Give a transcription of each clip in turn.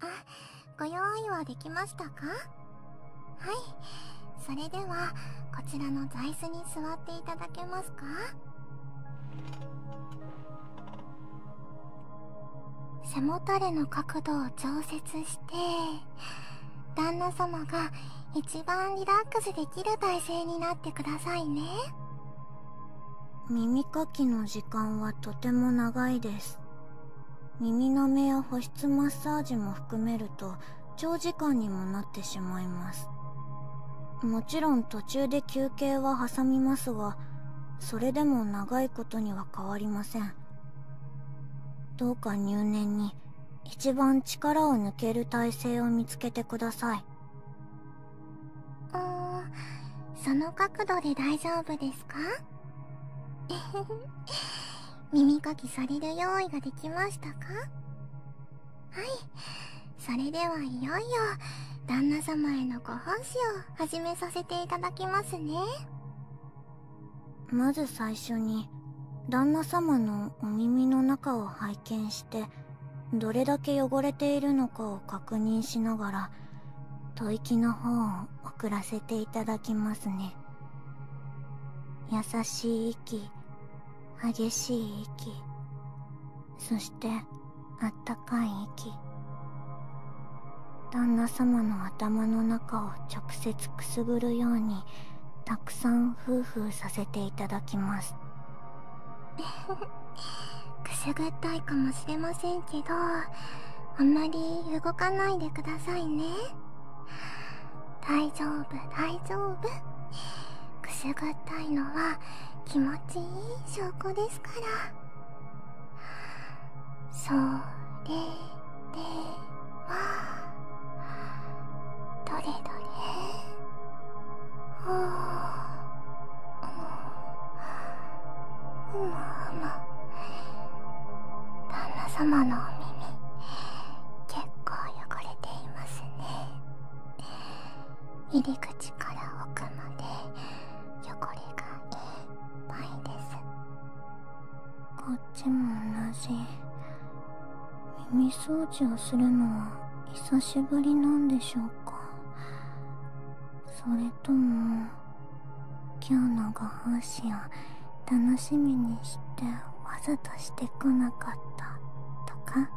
あご用意はできましたかはいそれではこちらの座椅子に座っていただけますか背もたれの角度を調節して旦那様が一番リラックスできる体勢になってくださいね耳かきの時間はとても長いです耳なめや保湿マッサージも含めると長時間にもなってしまいますもちろん途中で休憩は挟みますがそれでも長いことには変わりませんどうか入念に一番力を抜ける体勢を見つけてくださいうんその角度で大丈夫ですか 耳かきされる用意ができましたかはいそれではいよいよ旦那様へのご奉仕を始めさせていただきますねまず最初に旦那様のお耳の中を拝見してどれだけ汚れているのかを確認しながらが吐息の方を送らせていただきますね優しい息激しい息そしてあったかい息旦那様の頭の中を直接くすぐるようにたくさんフーフーさせていただきます くすぐったいかもしれませんけどあんまり動かないでくださいね大丈夫大丈夫くすぐったいのは気持ちいい証拠ですからそれではどれどれほうまあまあ旦那様のお耳結構汚れていますね入り口から奥まで汚れがいっぱいですこっちも同じ耳掃除をするのは久しぶりなんでしょうかそれとも今日のご奉仕を楽しみにしてわざとしてこなかったとか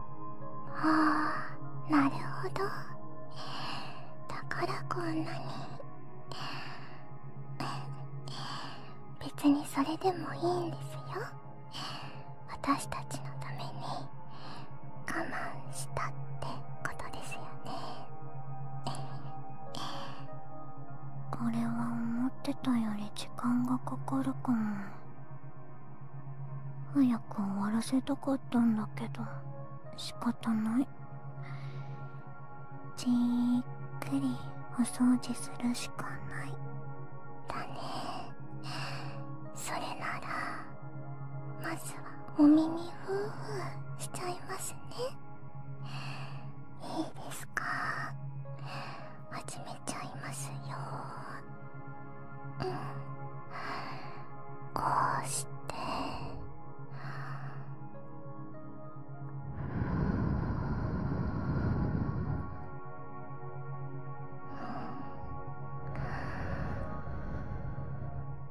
ああなるほどだからこんなに別にそれでもいいんですよ私たちのために我慢したってことですよねこれは思ってたより時間がかかるかも早く終わらせたかったんだけど仕方ないじっくりお掃除するしかないだねそれならまずはお耳ふーふーしちゃいますねいいですか始めちゃいますようんこうして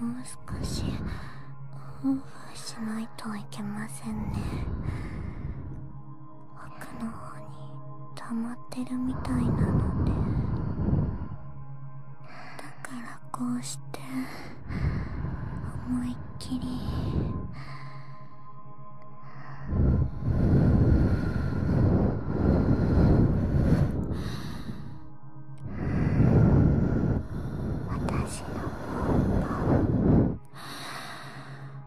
もう少しオーしないといけませんね奥の方に溜まってるみたいなのでだからこうして思いっきり。私のポンポン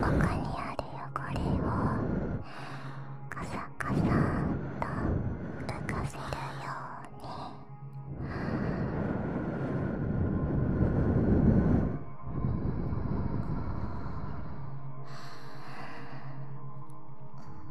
ここにある汚れをカサカサと浮かせるように。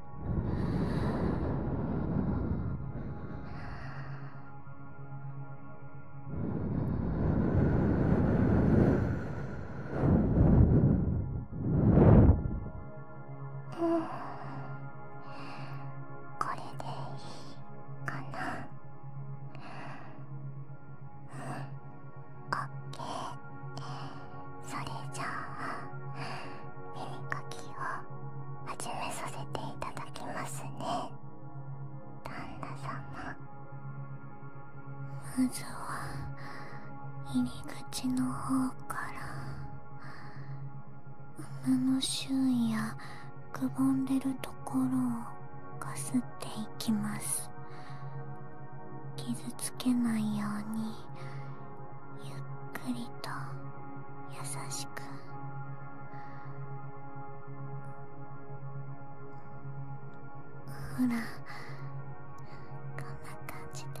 うんこれでいいかなうんオッそれじゃあ耳かきを始めさせていただきますね旦那様まずは入り口の方から胸の周囲やくぼんでるところをかすっていきます傷つけないようにゆっくりと優しくほらこんな感じで。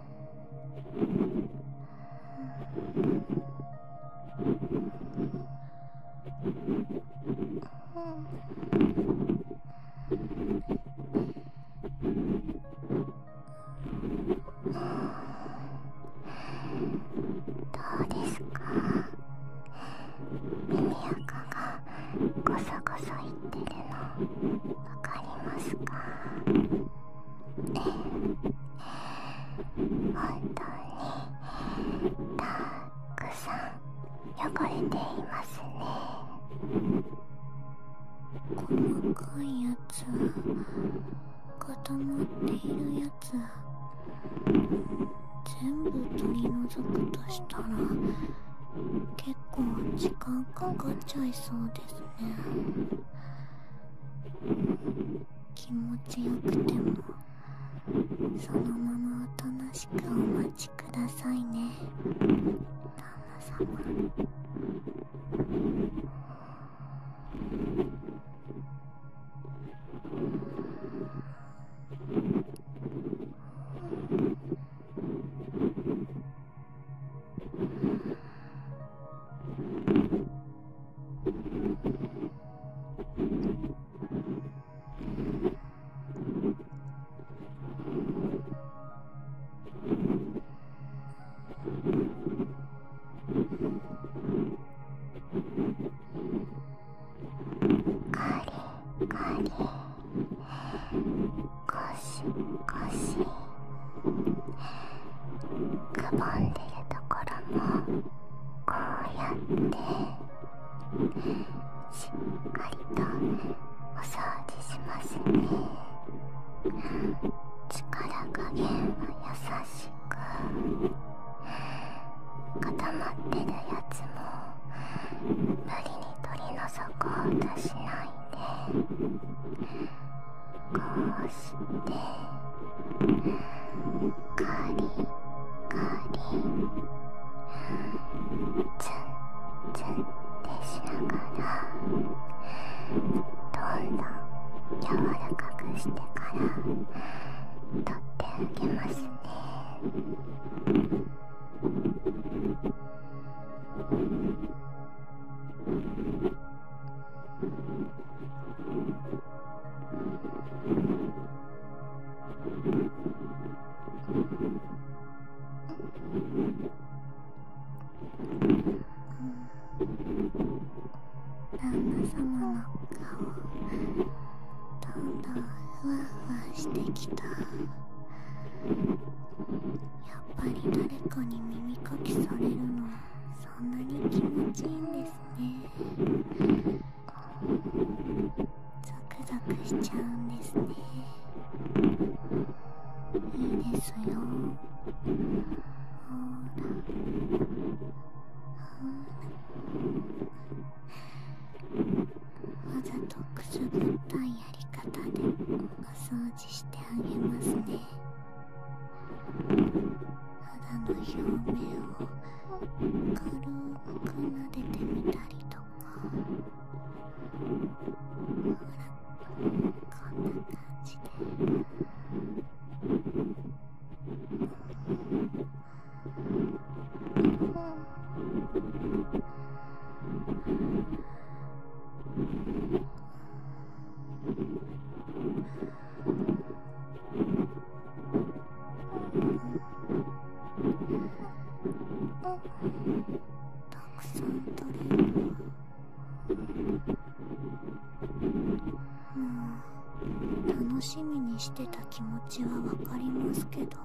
どうですか耳垢がごそごそいってるのわかりますかえ本当にたっくさん汚れていますね細かいやつ固まっているやつ全部取り除くとしたら結構時間かかっちゃいそうですね気持ちよくてもそのままおとなしくお待ちくださいね旦那様ゴシゴシ。くぼんでるところもこうやってしっかりとお掃除しますね力加減は優しく固まってるやつも無理に取り除こうとしないで。こうしてカリカリツンツンってしながらどんどん柔らかくしてからとってあげますね。ん。旦那様の顔どんどんふわふわしてきたやっぱり誰かに耳かきされるのそんなに気持ちいいんですねザクゾクしちゃうんですねいいですよほらわざとくすぐったいやり方でお掃除してあげますね肌の表面を軽く撫でてみたりとかほらこんな感じで。たくさんドれるクもう楽しみにしてた気持ちはわかりますけど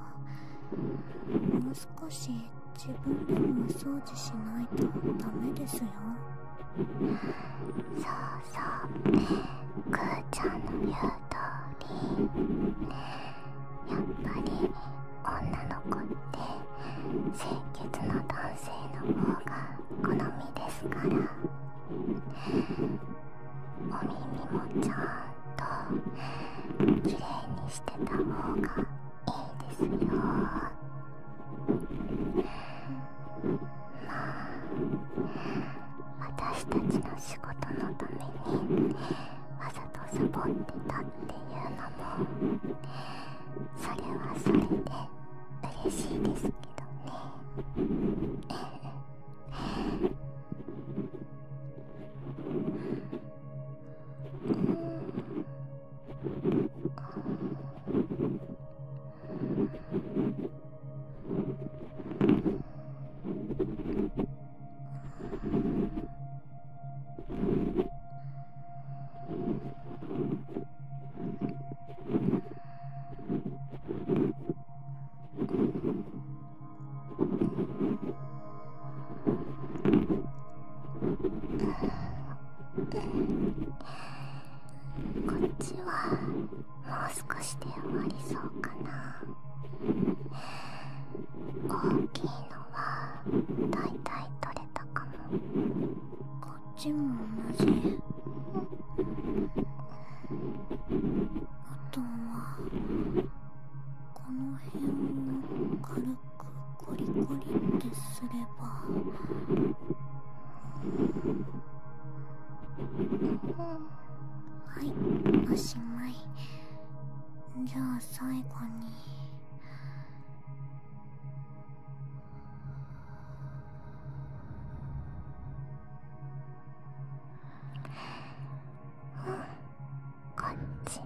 もう少し自分でもお掃除しないとダメですよさあ。そうくーちゃんの言う通りやっぱり女の子って清潔な男性の方が好みですからお耳もちゃんときれいにしてた方がいいですよ。まあ私たちの仕事のためにわざとサボってたっていうのもそれはそれで嬉しいですけどね。うん、こっちはもう少しで終わりそうかな大きいのはだいたい取れたかもこっちも同じあとはこの辺を軽くコリコリってすれば。はいおしまいじゃあ最後にうんこっちも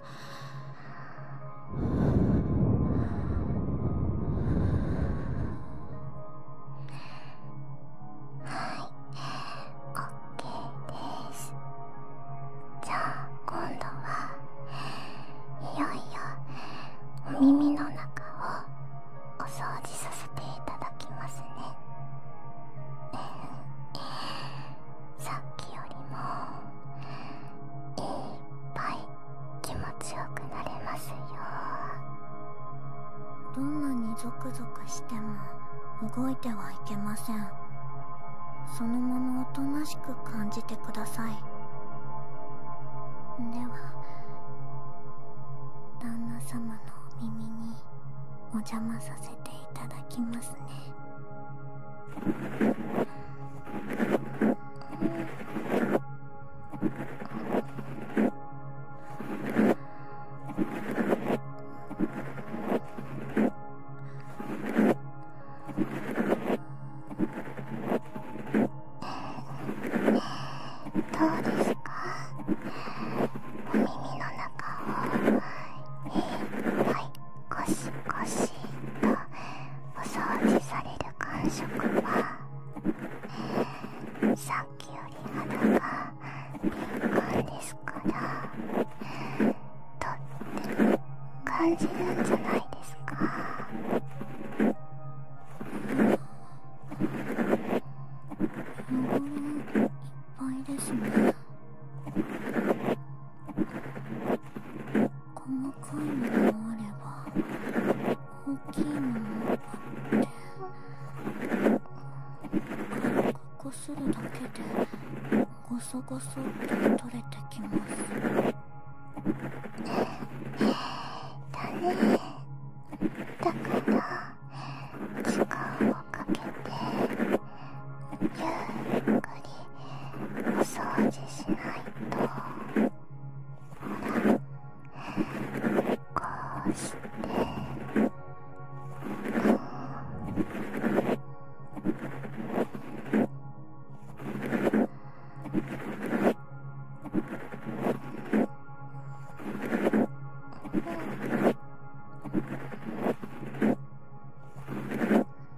はい、OK です。じゃあ今度はいよいよ耳の中をお掃除させていただきますねさっきよりもいっぱい気持ちよくなれますよどんなにゾクゾクしても動いてはいけませんそのままおとなしく感じてくださいでは旦那様のお耳にお邪魔させていただきますねどうですかお耳の中を、えー、はいゴシゴシしんとお掃除される感触は、えー、さっきより肌が敏感ですからとっても感じるんじゃないですか。うんいっぱいですね。細かいものもあれば大きいものもあって軽くこするだけでゴソゴソって取れてきますだねだから時間をかけて。ゆっくりお掃除しないとほらこうしてうん。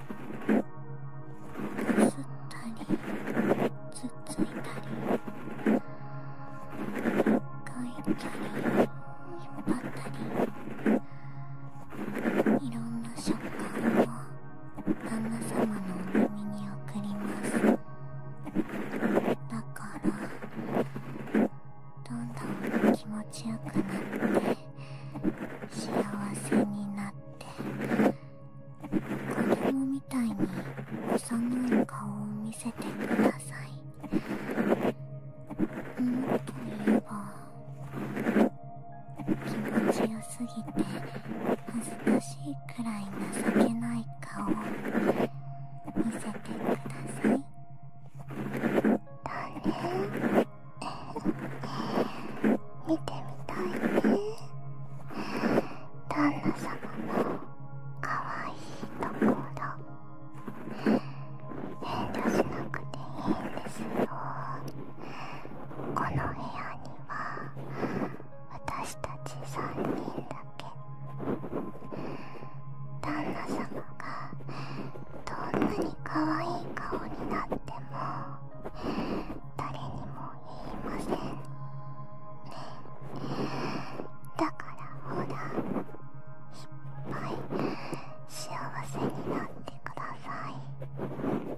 吸ったりつついたりかいたり引っ張ったりいろんな食感を旦那様のお耳に送りますだからどんどん気持ちよくなって幸せになって子供みたいに幼い顔を見せてくださいうんと言えば気持ちよすぎて恥ずかしいくらい情けない顔を見せてくださいだね見てみたいね旦那様のかわいいところ遠慮しなくていいんですよこの部屋には私たち3人だけ旦那様がどんなに可愛い顔になっても誰にも言いませんだからほらいっぱい幸せになってください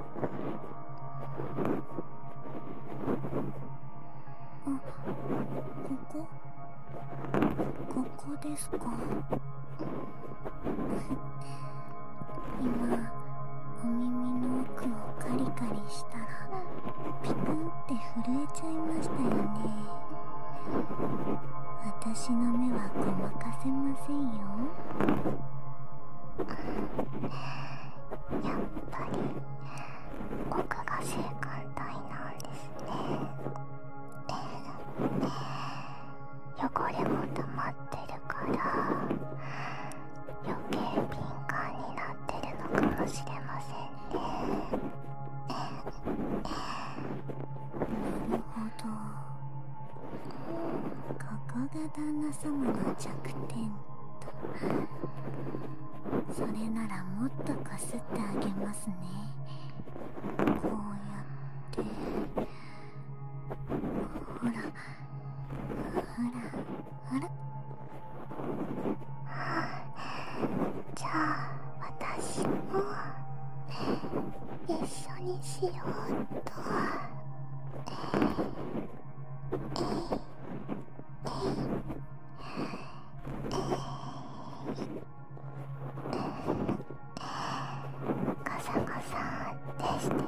ここここですか今お耳の奥をカリカリしたらピクンって震えちゃいましたよね私の目はごまかせませんよやっぱり僕が性感帯なんですね。汚れも溜まってるから余計敏感になってるのかもしれませんね。なるほど。ここが旦那様の弱点とそれならもっとかすってあげますねこうやってほらほらほらじゃあ私も一緒にしようっと。ガサガサってしてる。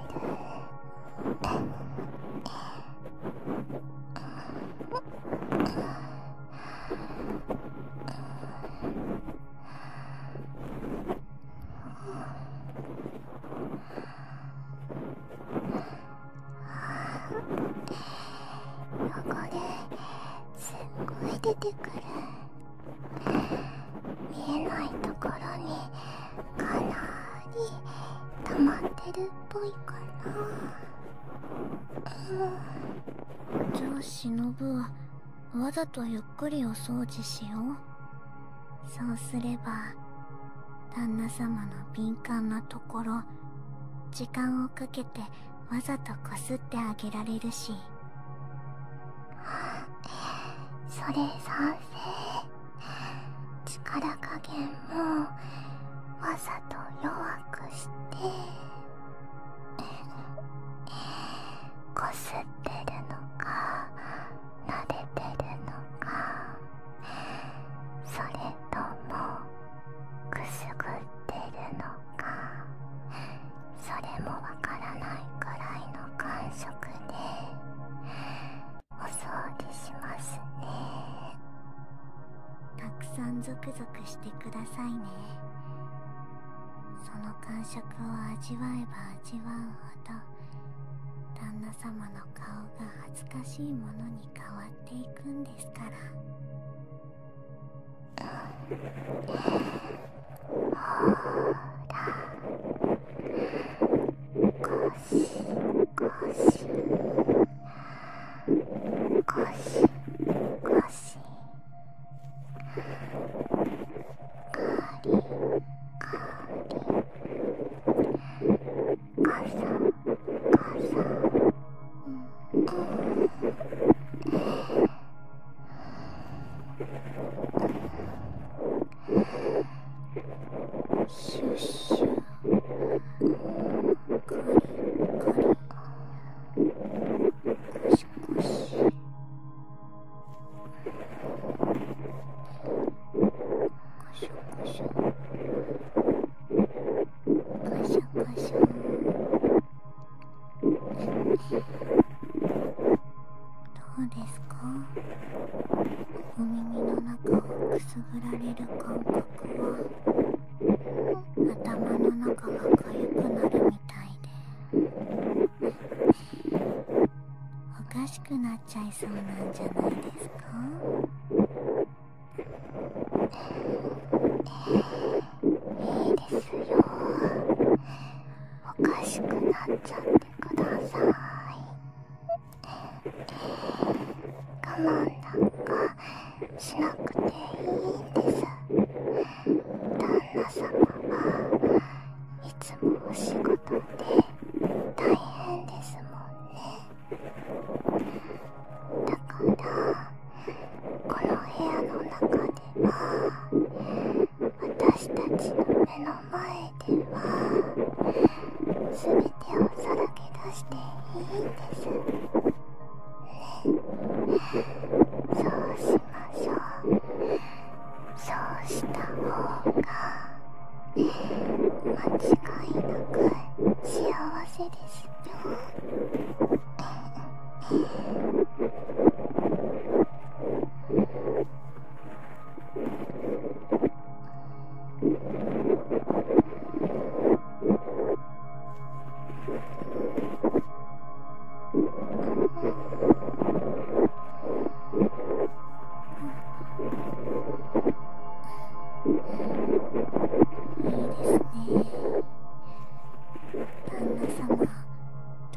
汚れすっごい出てくる見えないところにかなり溜まってるっぽいかなじゃあしのぶわざとゆっくりお掃除しようそうすれば旦那様の敏感なところ時間をかけてわざとこすってあげられるしそれ賛成力加減もわざと弱くしてこすってるのか慣れてるのかそれともくすぐってるのかそれもわからないくらいの感触でお掃除しますねたくさんゾクゾクしてくださいねその感触を味わえば味わうほど旦那様の顔が恥ずかしいものに変わっていくんですからほらゴシゴシゴシゴシありありシュッシュコリコリコシコシどうですかお耳の中をくすぐられる感覚は頭の中がかゆくなるみたいでおかしくなっちゃいそうなんじゃないですかいいですよおかしくなっちゃってください我慢なんかしなくていいんです旦那様はいつもお仕事で大変ですもんねだからこの部屋の中では私たちの目の前では全てをさらけ出していいんですそうしましょうそうした方が間違いなく幸せですよいいですね。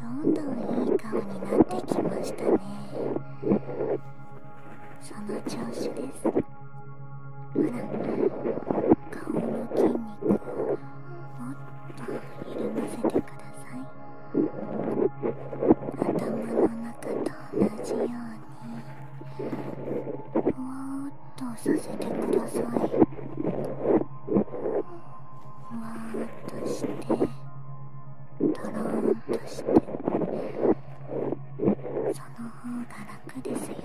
旦那様どんどんいい顔になってきましたねその調子ですほら顔の筋肉をもっと緩ませてください頭の中と同じようにふわーっとさせてくださいふわーっとしてとろーんとしてその方が楽ですよ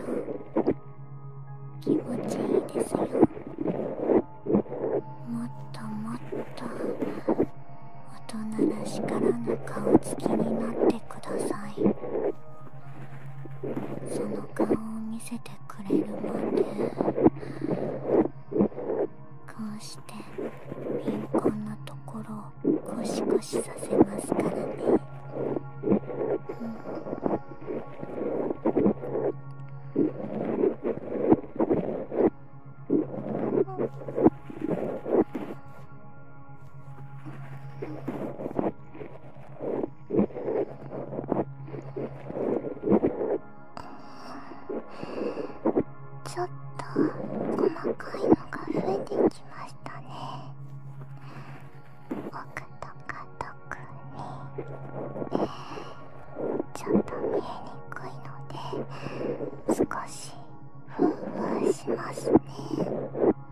気持ちいいですよもっともっと大人らしからぬ顔つきになってくださいその顔を見せてくれるまでこうして敏感なところをコシコシさせますからね、うんちょっと細かいのが増えてきましたね奥とか特にちょっと見えにくいので少しふんふんしますねこ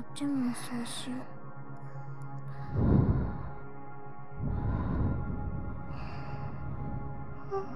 っちもそうし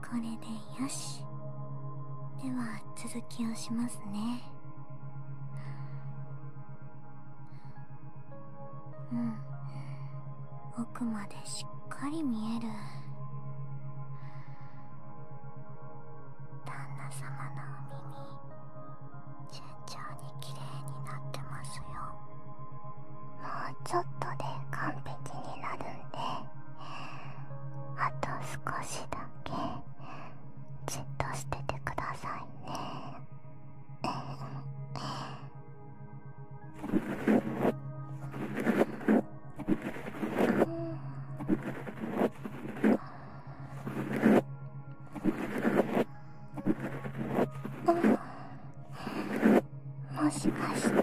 これでよしでは続きをしますねうん奥までしっかり見える旦那様のお耳順調に綺麗になってますよもうちょっとで完璧になるんであと少しだけじっとしててくださいねもしかしてこ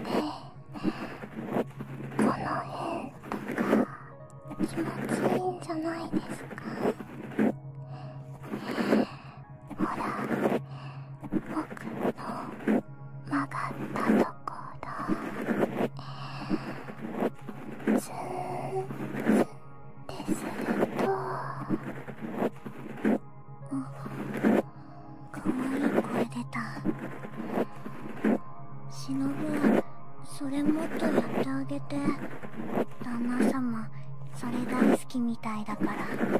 の辺とか気持ちいいんじゃないですかほら僕の曲がったところずーっとするとかわいい声出たしのぶそれもっとやってあげて旦那様それ大す。好きみたいだからり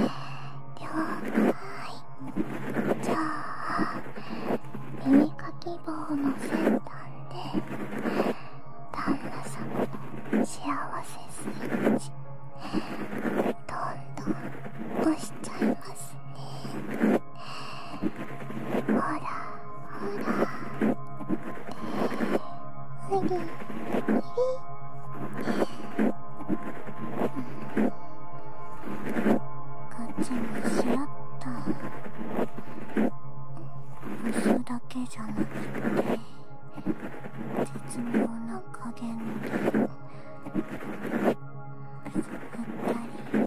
ょうかいじゃあ耳かき棒の先端で旦那様の幸せスイッチどんどん押しちゃいますねほらほらふふり、り…ガチにしあった嘘だけじゃなくて絶妙な加減で触ったり。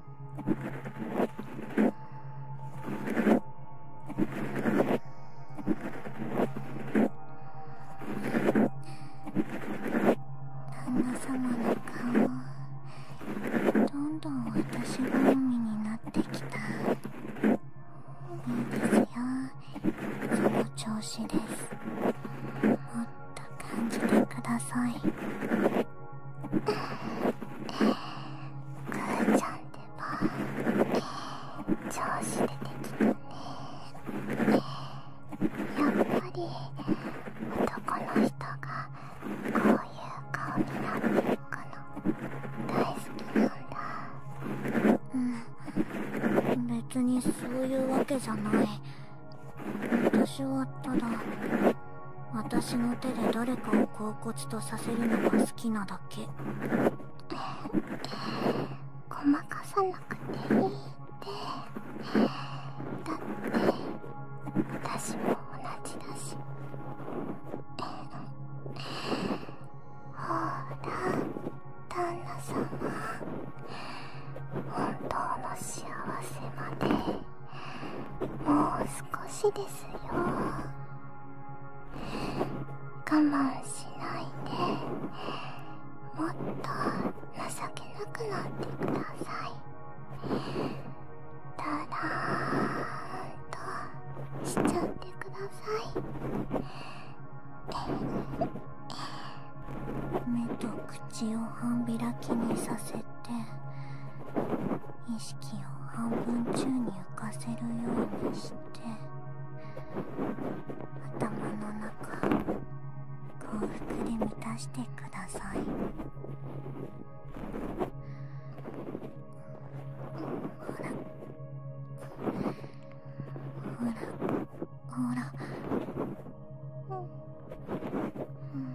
旦那様の顔どんどん私好みになってきたいいですよその調子ですもっと感じてくださいーちゃんでは、えー、調子出てきたね、やっぱり男の人がこういう顔になってるかの、大好きなんだうん別にそういうわけじゃない私はただ私の手で誰かを恍惚とさせるのが好きなだけごまかさなくていいってだって私も同じだしほら旦那様本当の幸せまでもう少しですよ我慢しないでもっと情けなくなってくださいだらーんとしちゃってください目と口を半開きにさせて。意識を半分中に浮かせるようにして頭の中幸福で満たしてくださいほらほらほらうんうん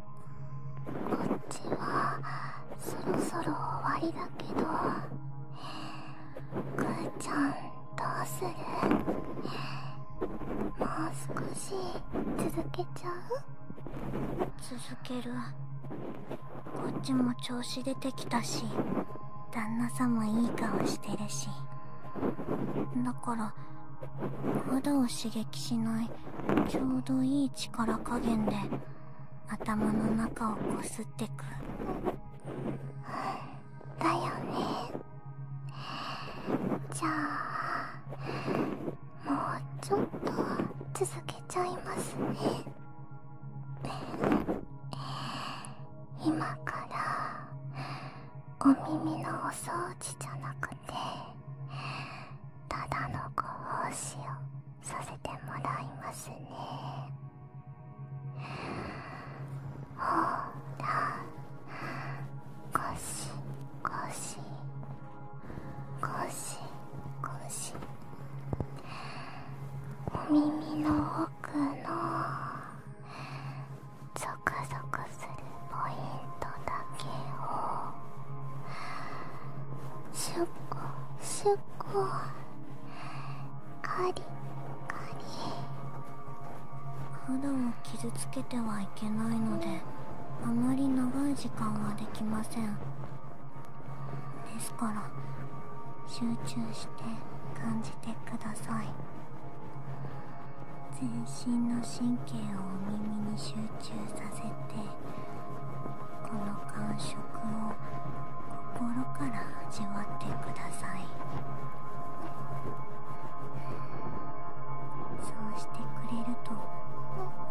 こっちはそろそろ終わりだけどくーちゃんどうするもう少し続けちゃう続けるこっちも調子出てきたし旦那さんもいい顔してるしだから肌を刺激しないちょうどいい力加減で頭の中をこすってくだよねじゃあもうちょっと続けちゃいますね今からお耳のお掃除じゃなくてただのご奉仕をさせてもらいますねほらごしごしごしごしお耳の奥のぞくゾクするポイントだけをすっごコシュッコカリカリ肌を傷つけてはいけないのであまり長い時間はできませんですから集中して感じてください全身の神経をお耳に集中させてこの感触を心から味わってくださいそうしてくれると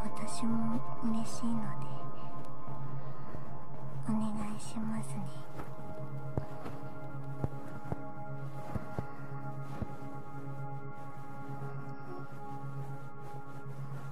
私も嬉しいのでお願いしますねお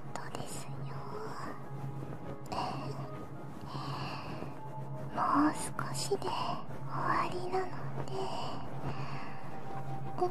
ことですよもう少しで終わりなので、うん、うん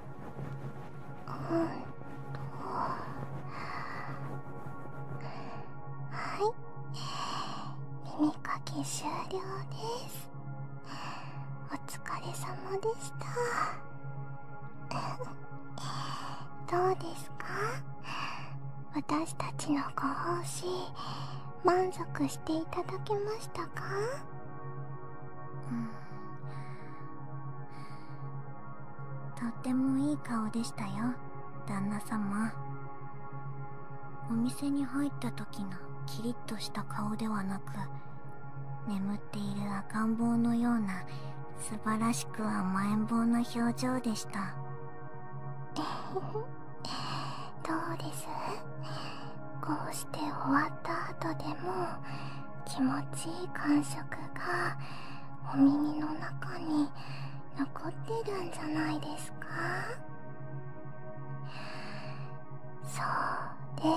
はい耳かき終了ですお疲れ様でした どうですか私たちのご奉仕満足していただけましたかとってもいい顔でしたよ旦那様お店に入った時のキリッとした顔ではなく眠っている赤ん坊のような素晴らしく甘えん坊な表情でした どうです して終わった後でも気持ちいい感触がお耳の中に残ってるんじゃないですかそれ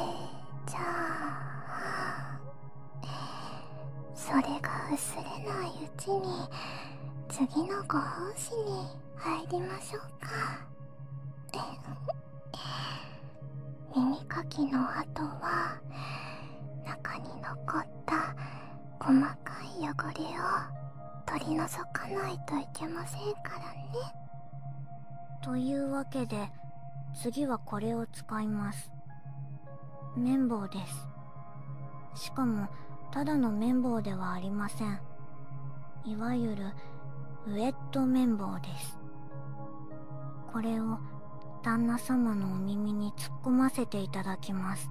じゃあそれが薄れないうちに次のご奉仕に入りましょうか。耳かきの後は中に残った細かい汚れを取り除かないといけませんからねというわけで次はこれを使います綿棒ですしかもただの綿棒ではありませんいわゆるウェット綿棒ですこれを旦那様のお耳に突っ込ませていただきます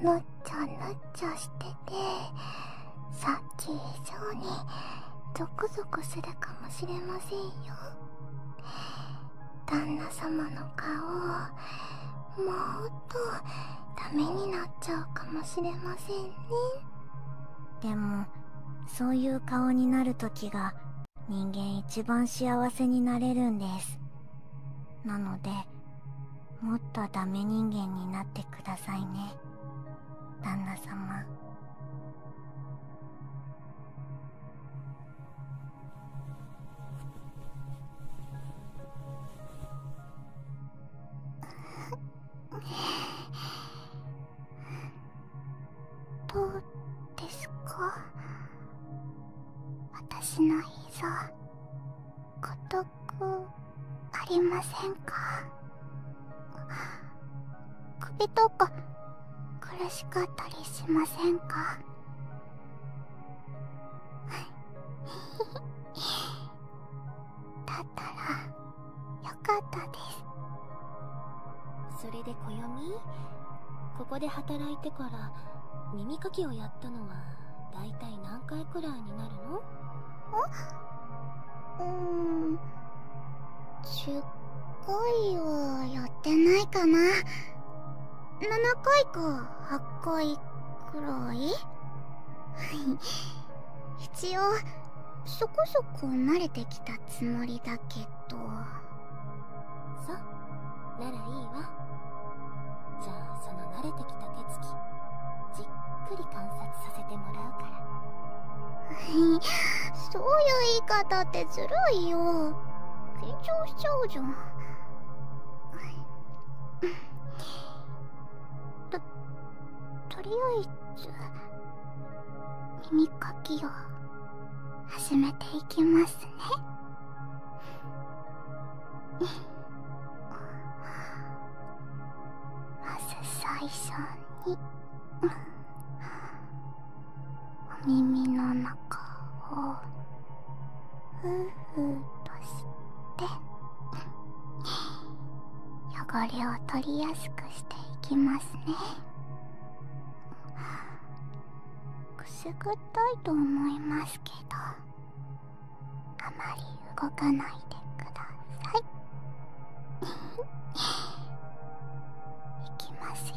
ぬっちゃぬっちゃしててさっき以上にゾクゾクするかもしれませんよ旦那様の顔もっとダメになっちゃうかもしれませんねでもそういう顔になる時が人間一番幸せになれるんですなのでもっとダメ人間になってくださいね旦那様 どうですか私の膝孤独ありませんか首とか苦しかったりしませんかただ… たらよかったですそれで暦ここで働いてから耳かきをやったのはだいたい何回くらいになるのうーん10回はやってないかな7回か8回くらい一応そこそこ慣れてきたつもりだけどそうならいいわじゃあその慣れてきた手つきじっくり観察させてもらうからそういう言い方ってずるいよ緊張しちゃうじゃんととりあえず耳かきを始めていきますねまず最初にお耳の中をふうふうとして汚れを取りやすくくしていきますねくすぐったいと思いますけどあまり動かないでください いきますよ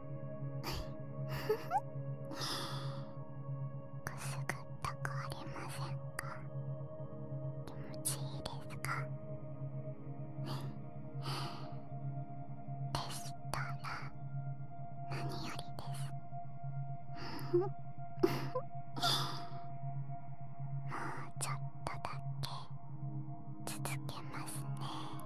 くすぐったくありませんか気持ちいいですかでしたら何よりですもうちょっとだけ続けますね。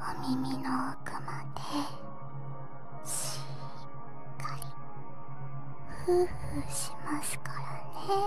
お耳の奥までしっかりふうふうしますからね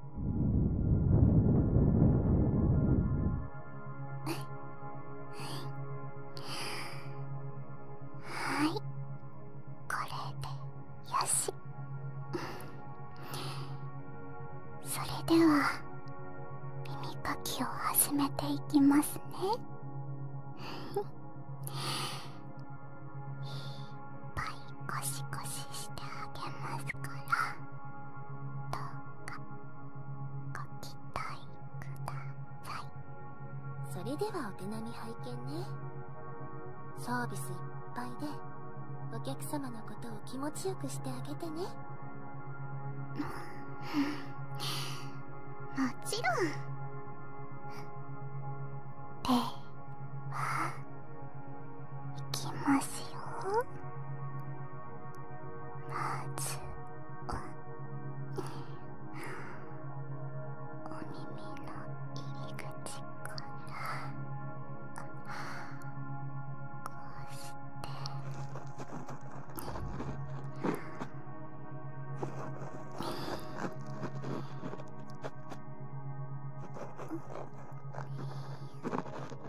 はいこれでよしそれでは耳かきを始めていきますねいっぱいゴシゴシしてあげますからどうかご期待くださいそれではお手並み拝見ねサービスいっぱいでお客様のことを気持ちよくしてあげてねもちろんではいきますよまずはお耳の入り口からこうしてん、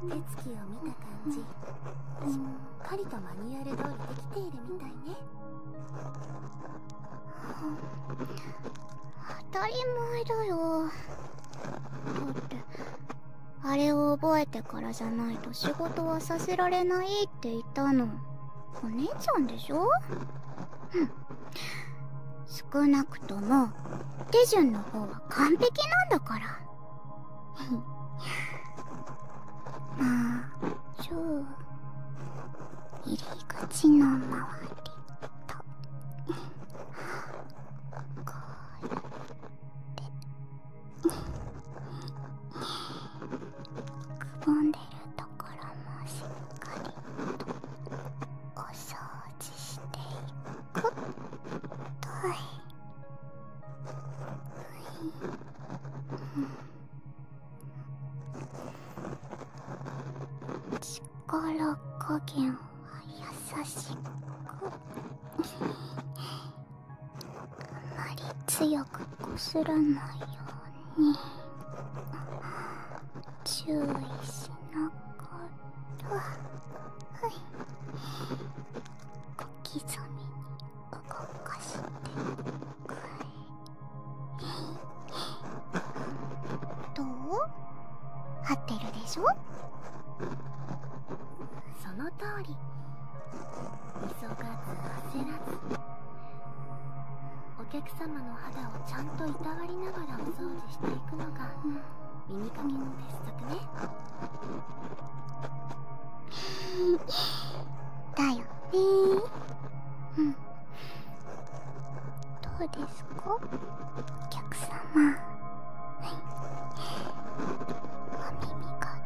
うん手つきを見た感じ、うん、しっかりとマニュアル通りできているみたいね、当たり前だよだってあれを覚えてからじゃないと仕事はさせられないって言ったのお姉ちゃんでしょ少なくとも手順の方は完璧なんだから まあじゃ入り口の周りとこうやって くぼんでるとろもしっかりとお掃除していくと力加減は優しくあまり強くこすらないように。に注意しなかったはい小刻みに動かしてくれどう合ってるでしょその通り急がず焦らずお客様の肌をちゃんといたわりながらお掃除していくのが、耳かきの鉄則ねだよねうんどうですかお客様はいお耳が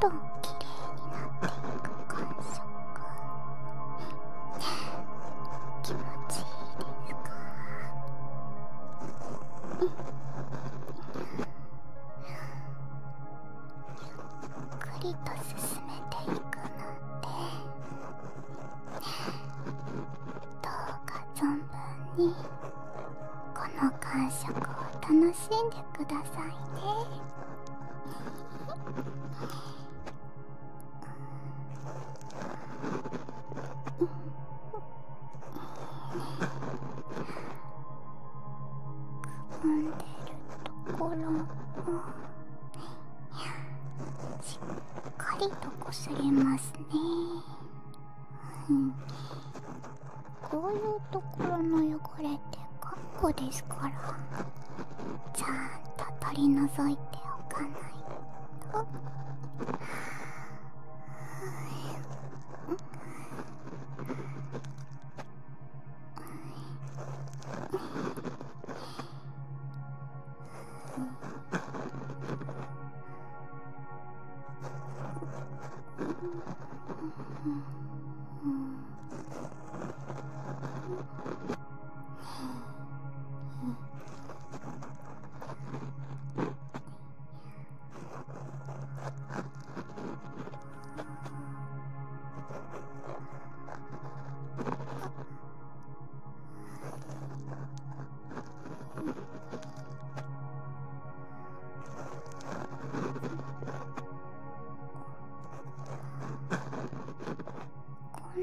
どんどん綺麗になっていく感想気持ちいいですかゆっくりと進めていくのでどうか存分にこの感触を楽しんでくださいねくんでるところもしっかりとこすれますね、こういうところの汚れってかっこですから。ちゃんと取り除いておかないと。うん。こん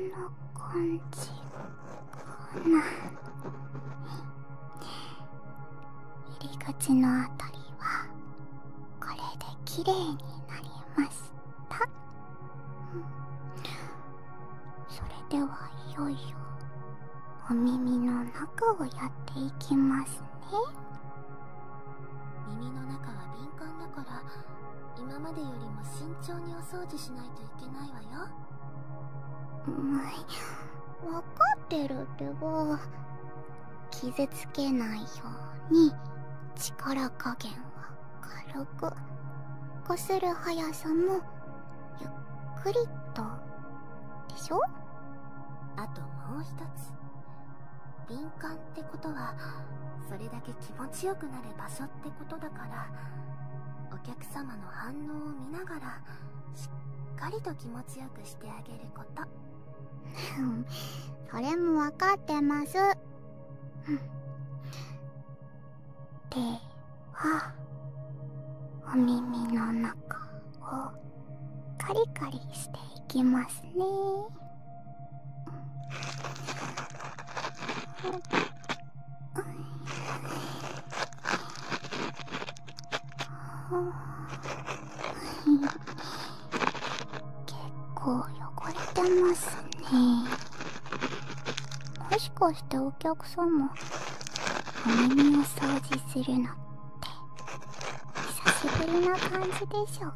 な感じこんな…入り口のあたりはこれできれいになりました、それではいよいよお耳の中をやっていきますね耳の中は敏感だから今までよりも慎重に押お掃除しないといけないわようかってるってば傷つけないように力加減は軽くこする速さもゆっくりとでしょあともう一つ敏感ってことはそれだけ気持ちよくなる場所ってことなからお客様の反応を見ながらしっかりと気持ちよくしてあげること それも分かってますではお耳の中をカリカリしていきますね結構汚れてますねもしかしてお客様んもお耳を掃除するのって久しぶりな感じでしょうか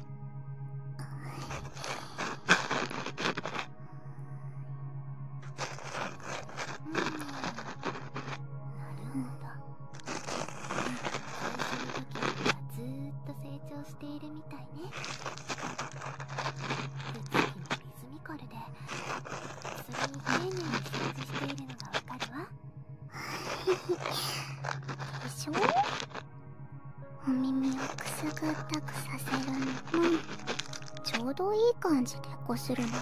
うん、なるほど。は時ずっと成長しているみたいね手つきのリズミカルでそれに丁寧に掃除しているのがわかるわでしょお耳をくすぐったくさせるのもちょうどいい感じでこするのも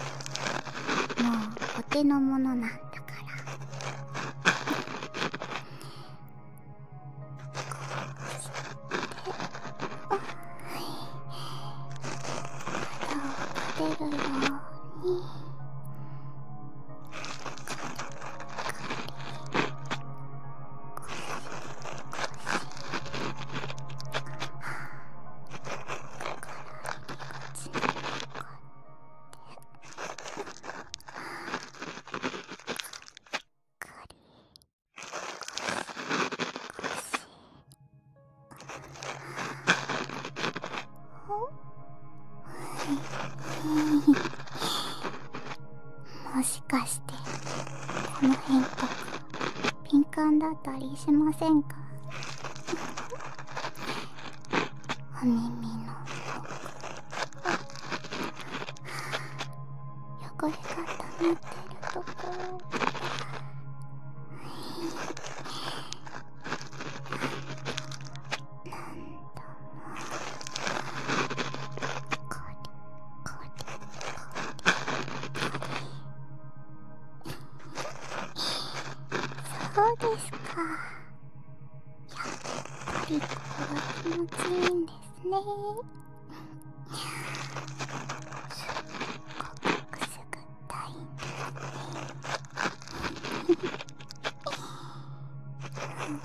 もうお手のものなんだからこうしてあはい肌を立でるように。ほもしかしてこの辺とか敏感だったりしませんかお耳のは奥汚れが溜まってるところあそうですかやっぱりこれは気持ちいいんですねすっごくすぐったいんですね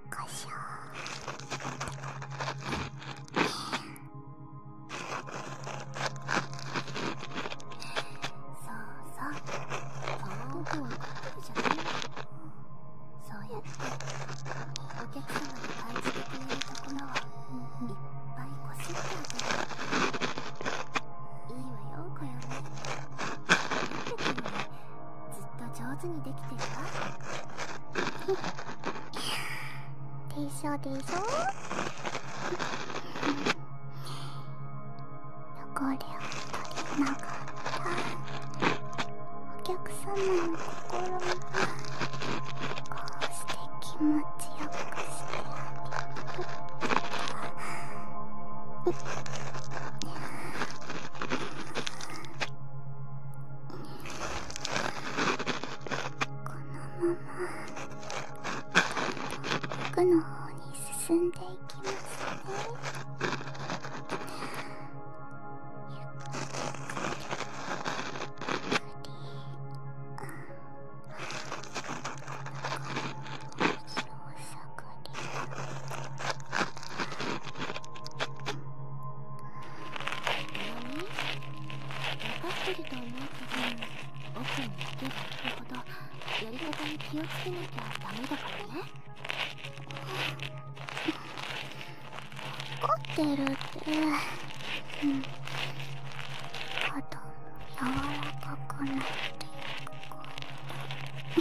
っこしょそうそうその部分をじゃないそうやってお客様に感じてくれるところをいっぱいこすってあげるいいわよこよね待ってくるずっと上手にできてるわでしょでしょ汚れを取りながらお客様の心もこうして気持ちよくしてあげるこのまま奥の方に進んでいきますねゆっくりゆっくりおさくり。分かってると思うけど奥に行きば行くほどやり方に気をつけなきゃダメだからね怒ってるってうん肩も柔らかくなっていから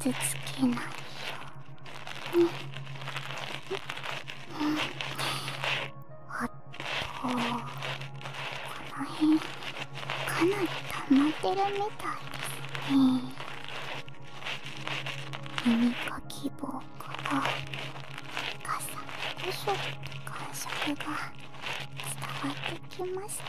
傷つけないよあっとこの辺かなり溜まってるみたいですね耳かき棒からガサゴショって感触が伝わってきました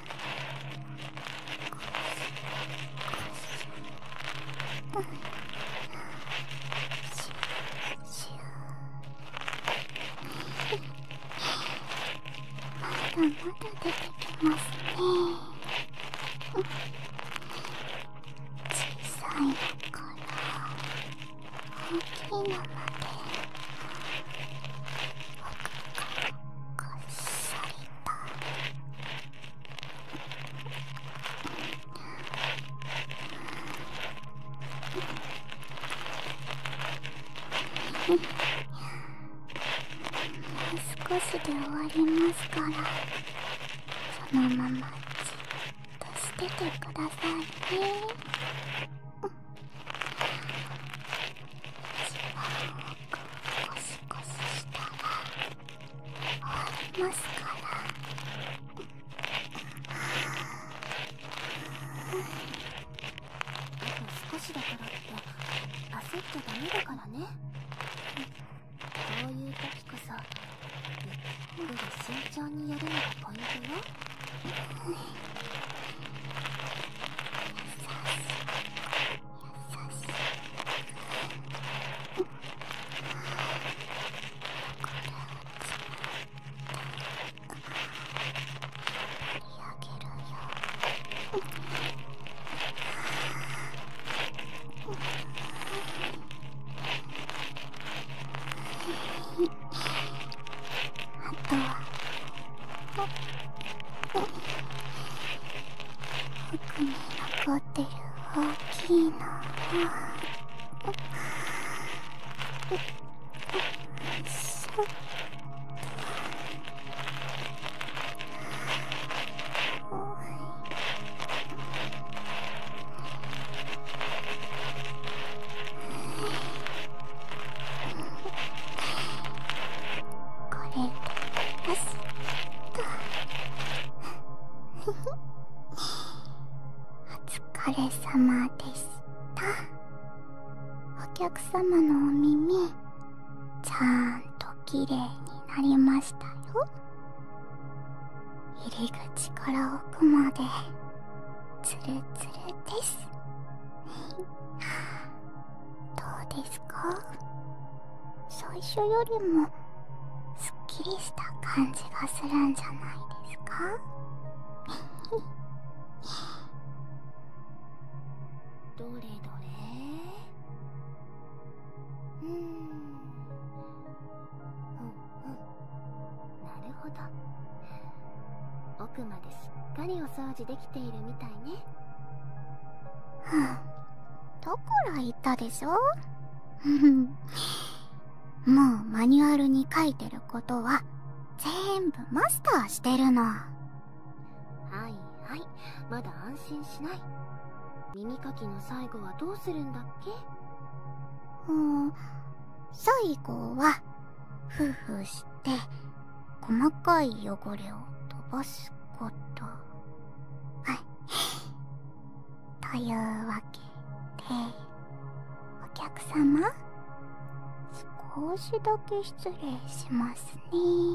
まだ出てきますね小さいから大きいのまでこっそりった少しで終わりますからそのままじっとしててくださいね。くしシししたら終わりますから。あと少しだからって焦っちゃダメだからね。こういう時こそゆっくり慎重にやるのがポイントよ。優しあとは服に残ってる大きいのこれで、よしとお疲れ様でしたお客様のお耳ちゃんときれいになりましたよ入り口から奥までつるつるですどうですか最初よりもすっきりした感じがするんじゃないですか どれどれなるほど奥まですっかりお掃除できているみたいねだから言ったでしょ もうマニュアルに書いてることは全部マスターしてるのはいはいまだ安心しない耳かきの最後はどうするんだっけうん最後はふふして細かい汚れを飛ばすことはいというわけでお客様少しだけ失礼しますねは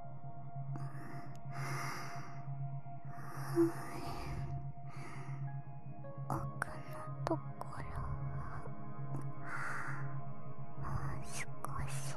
奥のところもう少し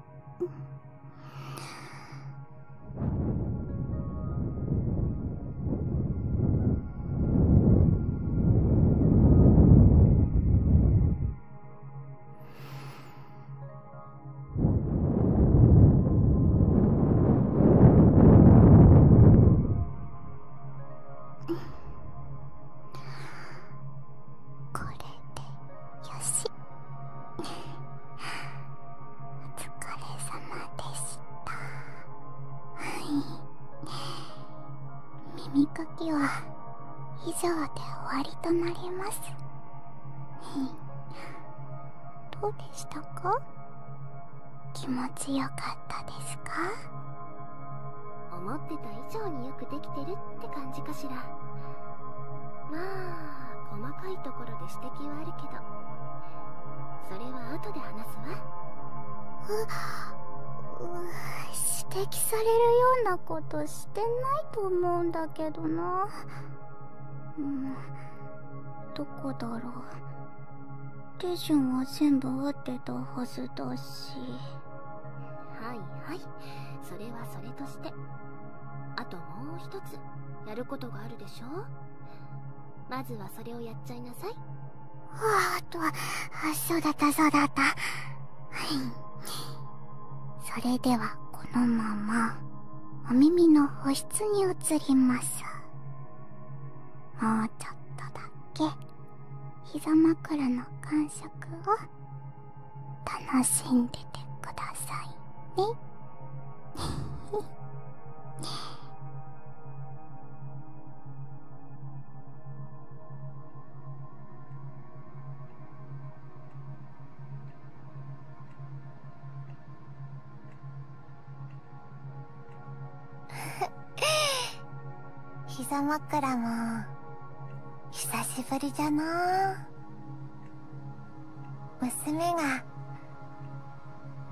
これで。しお疲れ様でしたはい耳かきは以上で終わりとなりますどうでしたか気持ちよかったですか思ってた以上によくできてるって感感じかしらまあ細かいところで指摘はあるけどそれは後で話すわ指摘されるようなことしてないと思うんだけどなうんどこだろう手順は全部合ってたはずだしはいはいそれはそれとしてあともう一つやることがあるでしょまずはそれをやっちゃいなさいあとはそうだったそうだったはいそれではこのままお耳の保湿に移りますもうちょっとだけ膝枕の感触を楽しんでてくださいね 膝枕も久しぶりじゃな娘が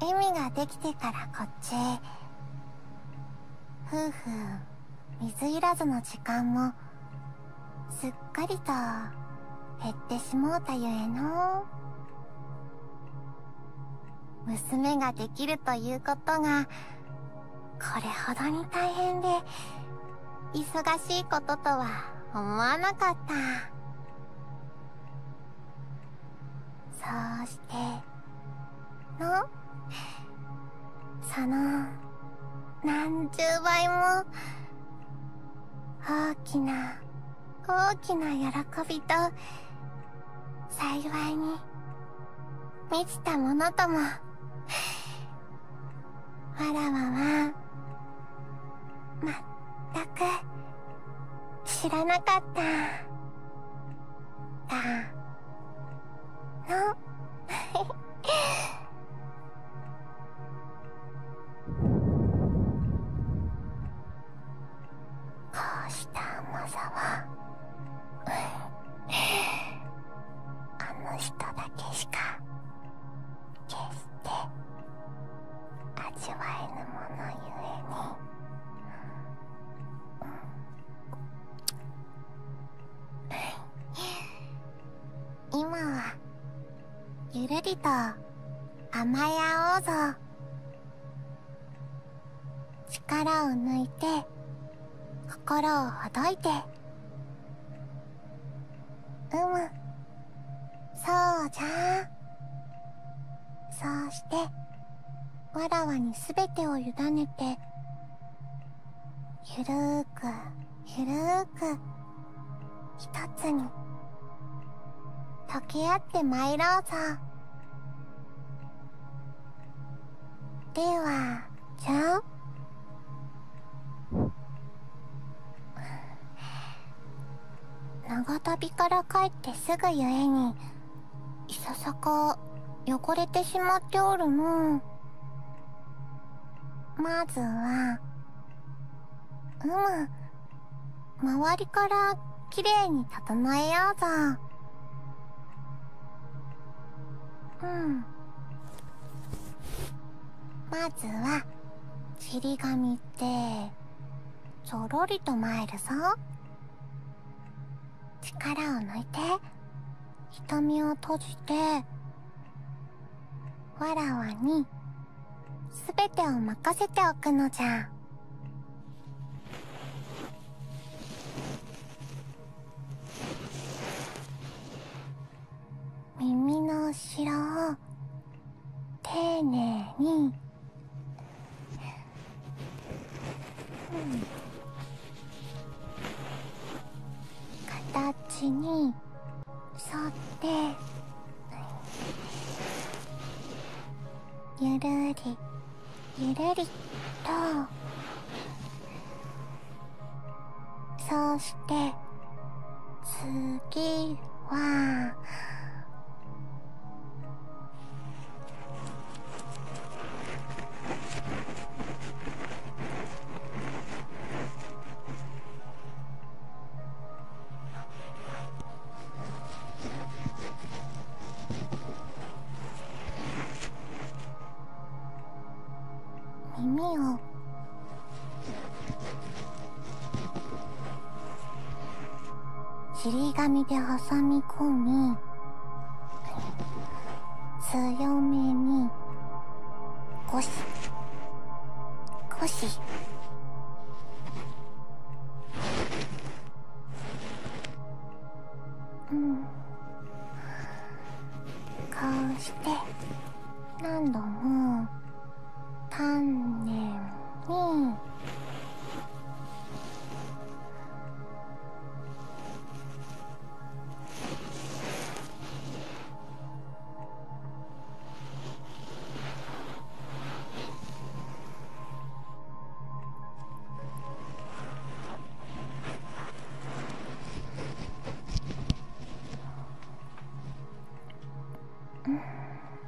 エミができてからこっちへ。夫婦水いらずの時間もすっかりと減ってしもうたゆえの娘ができるということがこれほどに大変で忙しいこととは思わなかったそうしてのその何十倍も大きな大きな喜びと幸いに満ちたものともわらわはまったく知らなかっただのこうした甘さはあの人だけしか決して味わえぬものゆえに、今はゆるりと甘え合おうぞ力を抜いて心をほどいてうむそうじゃそうしてわらわにすべてをゆだねてゆるーくゆるーくとつにとけあってまいろうぞではじゃあ長旅から帰ってすぐゆえにいささか汚れてしまっておるのまずはうむ周りからきれいに整えようぞうんまずはちり紙って。ぞろりとえるぞ力を抜いて瞳を閉じてわらわに全てを任せておくのじゃ耳の後ろを丁寧に、形に沿ってゆるりゆるりとそうして次は耳をちり紙で挟み込み強めにゴシゴシうんこうして何度も丹念にうん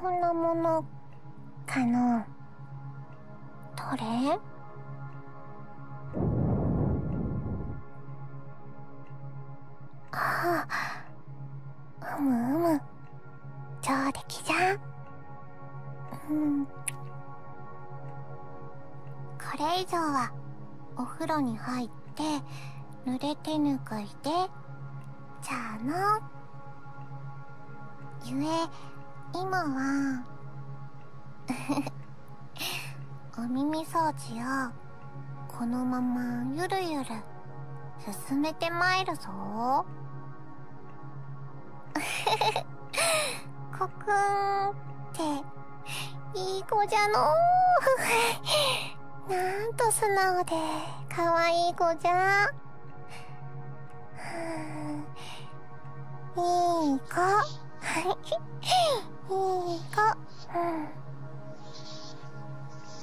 こんなものかなどれあうむうむ超出来じゃんうんこれ以上はお風呂に入って濡れてぬくいでじゃあのゆえ今は お耳掃除をこのままゆるゆる進めてまいるぞ コクンっていい子じゃの なんと素直でかわいい子じゃいい子いい子、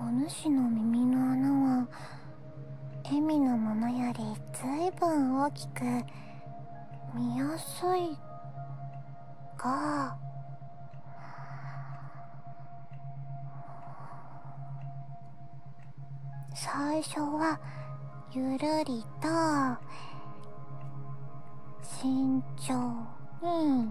おぬしの耳の穴はエミのものよりずいぶん大きく見やすいが最初はゆるりと慎重に。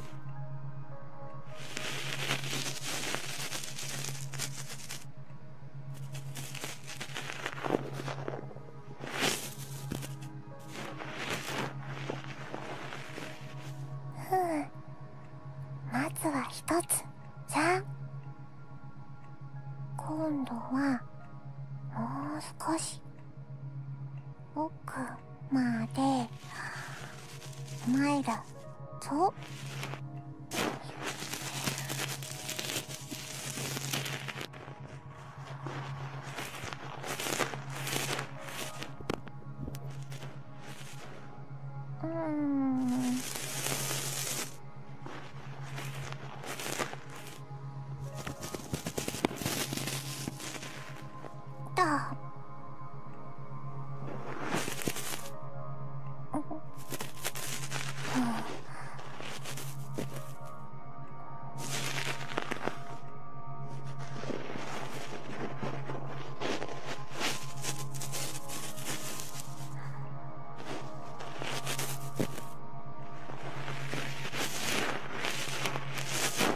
うんまずは一つじゃん今度はもう少し奥まで参るぞうんだ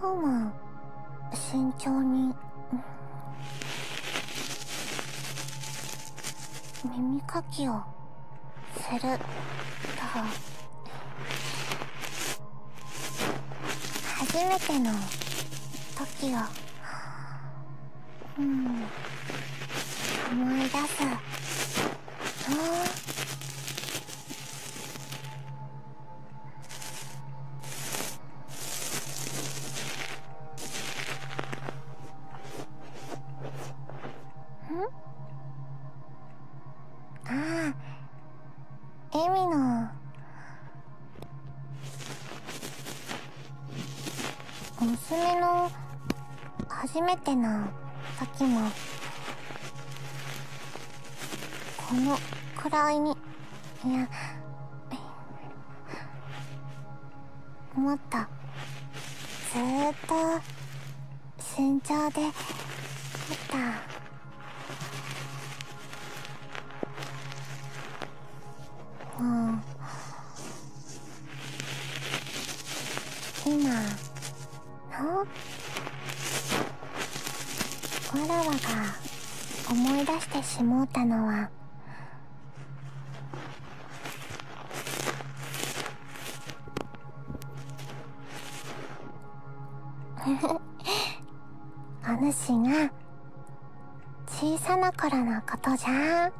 こうは慎重に耳かきをすると初めての時をうん思い出すあああエミの娘の初めてな時もこのくらいにいや思った。ずっと慎重でいた。もう今あわらわが思い出してしもうたのはフお主が小さな頃のことじゃん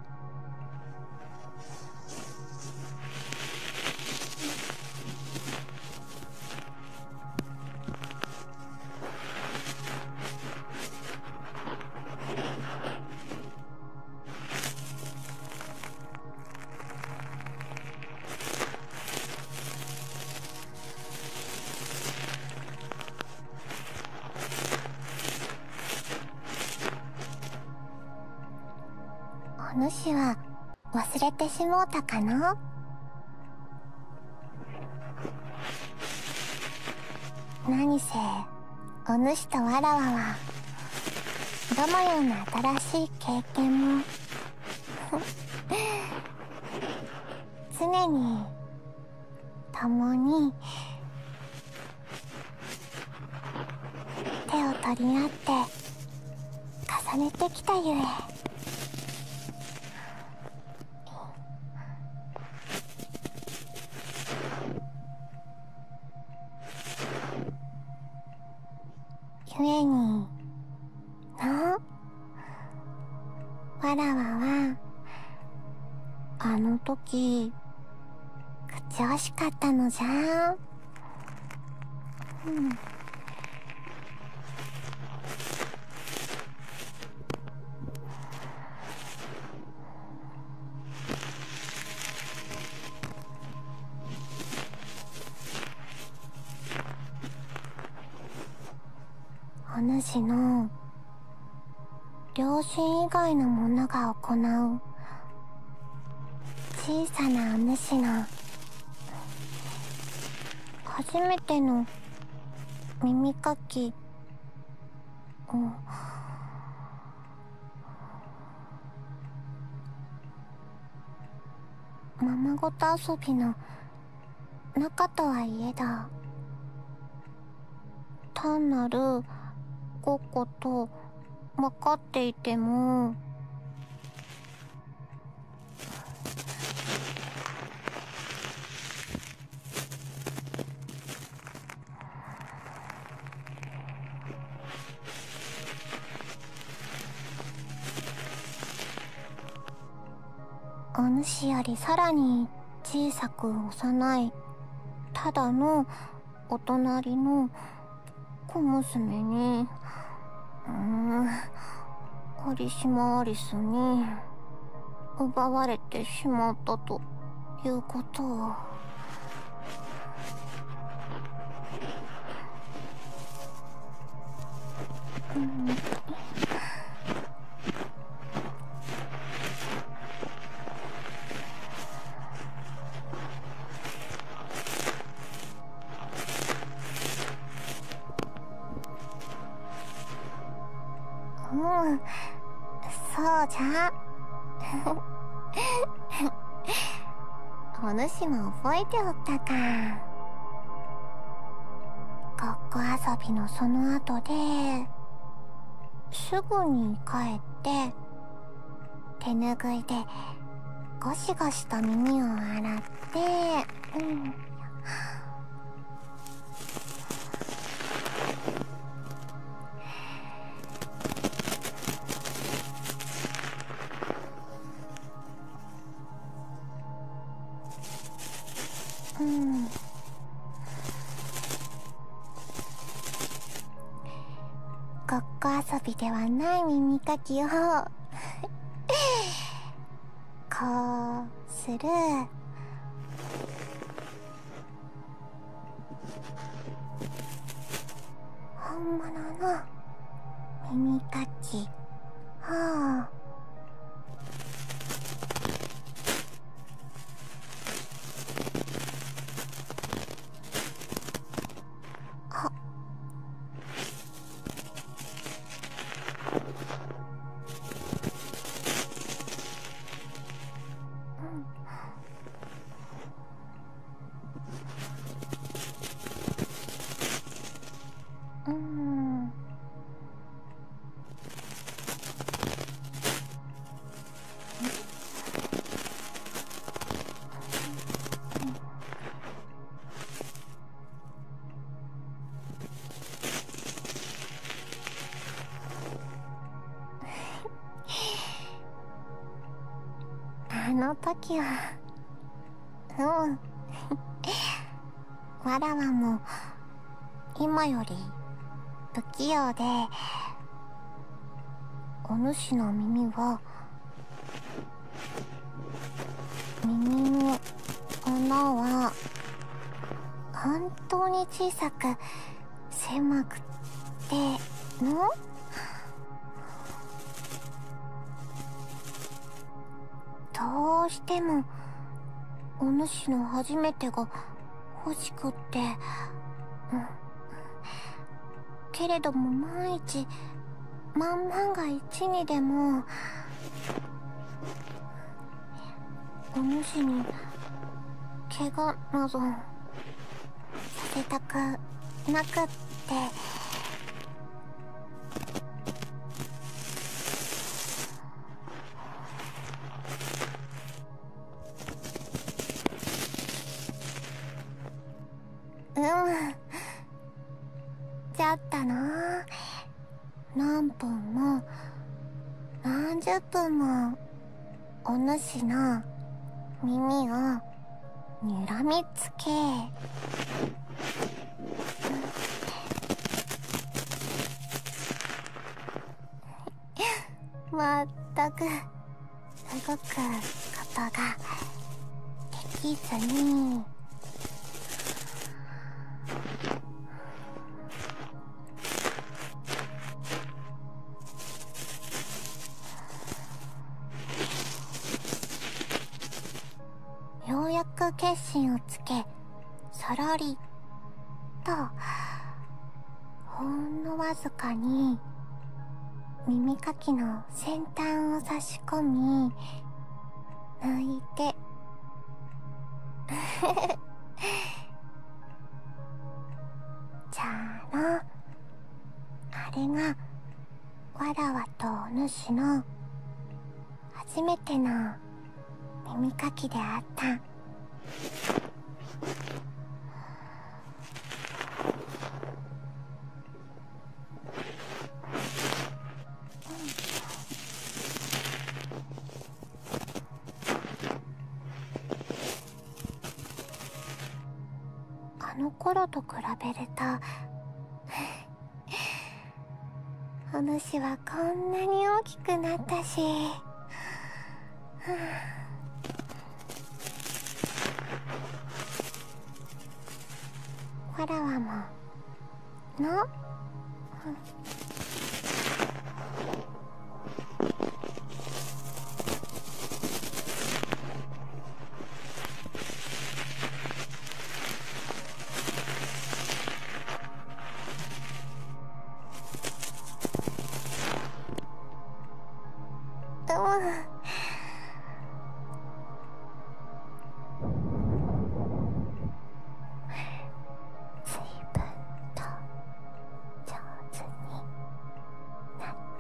お主は忘れてしもうたかの何せお主とわらわはどのような新しい経験も常に共に手を取り合って重ねてきたゆえゆえになわらわはあの時口惜しかったのじゃうんお主の両親以外の者が行う小さなお主の初めての耳かきをままごと遊びの中とはいえだ単なるごっこと分かっていてもお主よりさらに小さく幼いただのお隣の小娘にうん有島アリスに奪われてしまったということを。うんうんそうじゃお主も覚えておったかごっ遊びのその後ですぐに帰って手ぬぐいでゴシゴシと耳を洗ってうん。ごっこ遊びではない耳かきをこうする本物の耳かきをあうんうんあの時はうんわらわも今より不器用でお主の耳は耳の穴は本当に小さく狭くてのどうしてもお主の初めてが欲しくて、うん、けれども万一万万が一にでもお主に怪我などさせたくなくって。うんちゃったな何分も何十分もお主の耳をにらみつけまったくすごくことができずにようやく決心をつけさらりとほんのわずかに耳かきの先端を差し込み抜いて じゃあのあれがわらわとお主の初めての耳かきであったあのころと比べると お主はこんなに大きくなったしわらわもの うう。ん。と。上手に。なっ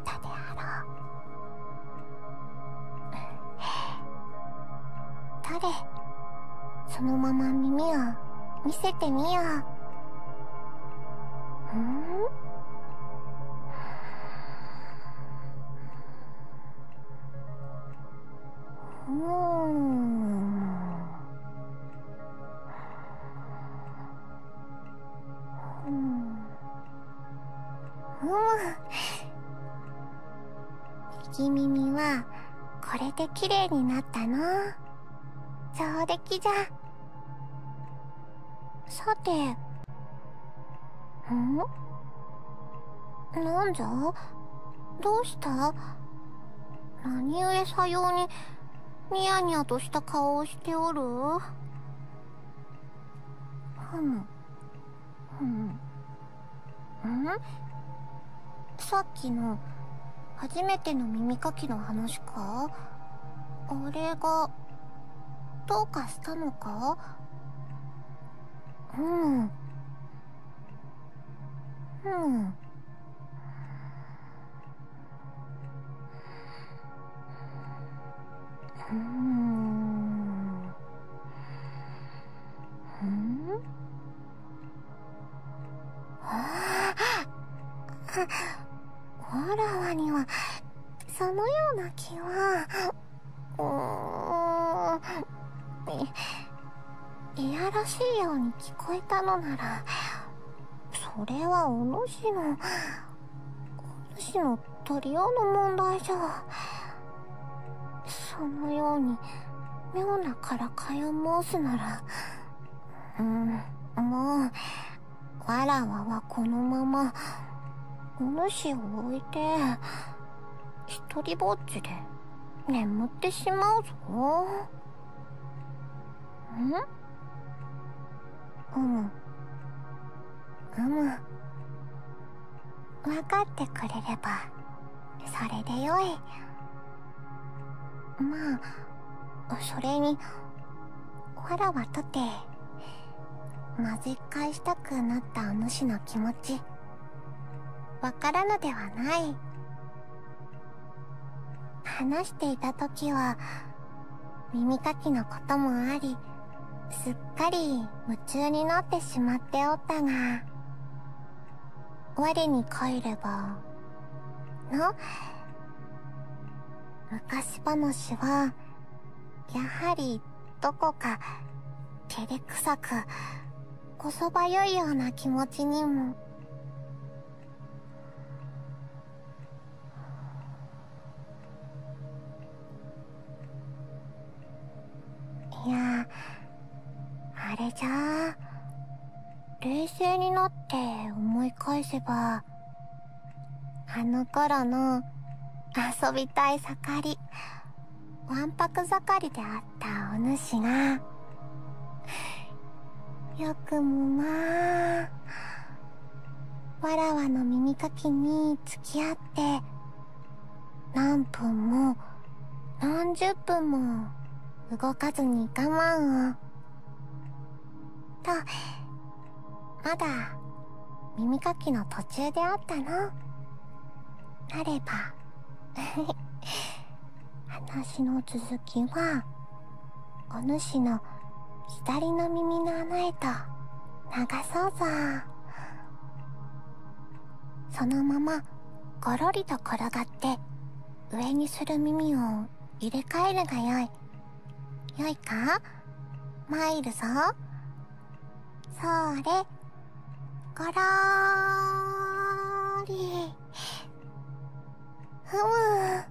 たであろ誰。そのまま耳を見せてみよう。うん。うんうん。右耳はこれで綺麗になったのそうできじゃさてんなんじゃどうした何故さようにニヤニヤとした顔をしておるふむふむんさっきの初めての耳かきの話かあれがどうかしたのかうんうんうんうんあああらわにはそのような気はうんいやらしいように聞こえたのならそれはお主のお主の取りようの問題じゃそのように妙なからかいを申すならうんもうわらわはこのままおぬしを置いてひとりぼっちで眠ってしまうぞうんうむうむ分かってくれればそれでよいまあそれにわらわとて混ぜ返したくなったお主の気持ちわからぬではない話していた時は耳かきのこともありすっかり夢中になってしまっておったが我に帰ればの昔話はやはりどこか照れくさくこそばゆいような気持ちにもいやあれじゃあ冷静になって思い返せばあの頃の遊びたい盛りわんぱく盛りであったお主がよくもまあわらわの耳かきに付き合って何分も何十分も動かずに我慢をとまだ耳かきの途中であったのなれば 話の続きはお主の左の耳の穴へと流そうぞそのままごロリと転がって上にする耳を入れ替えるがよいよいか参るぞ。それ、ごろーり。ふむ。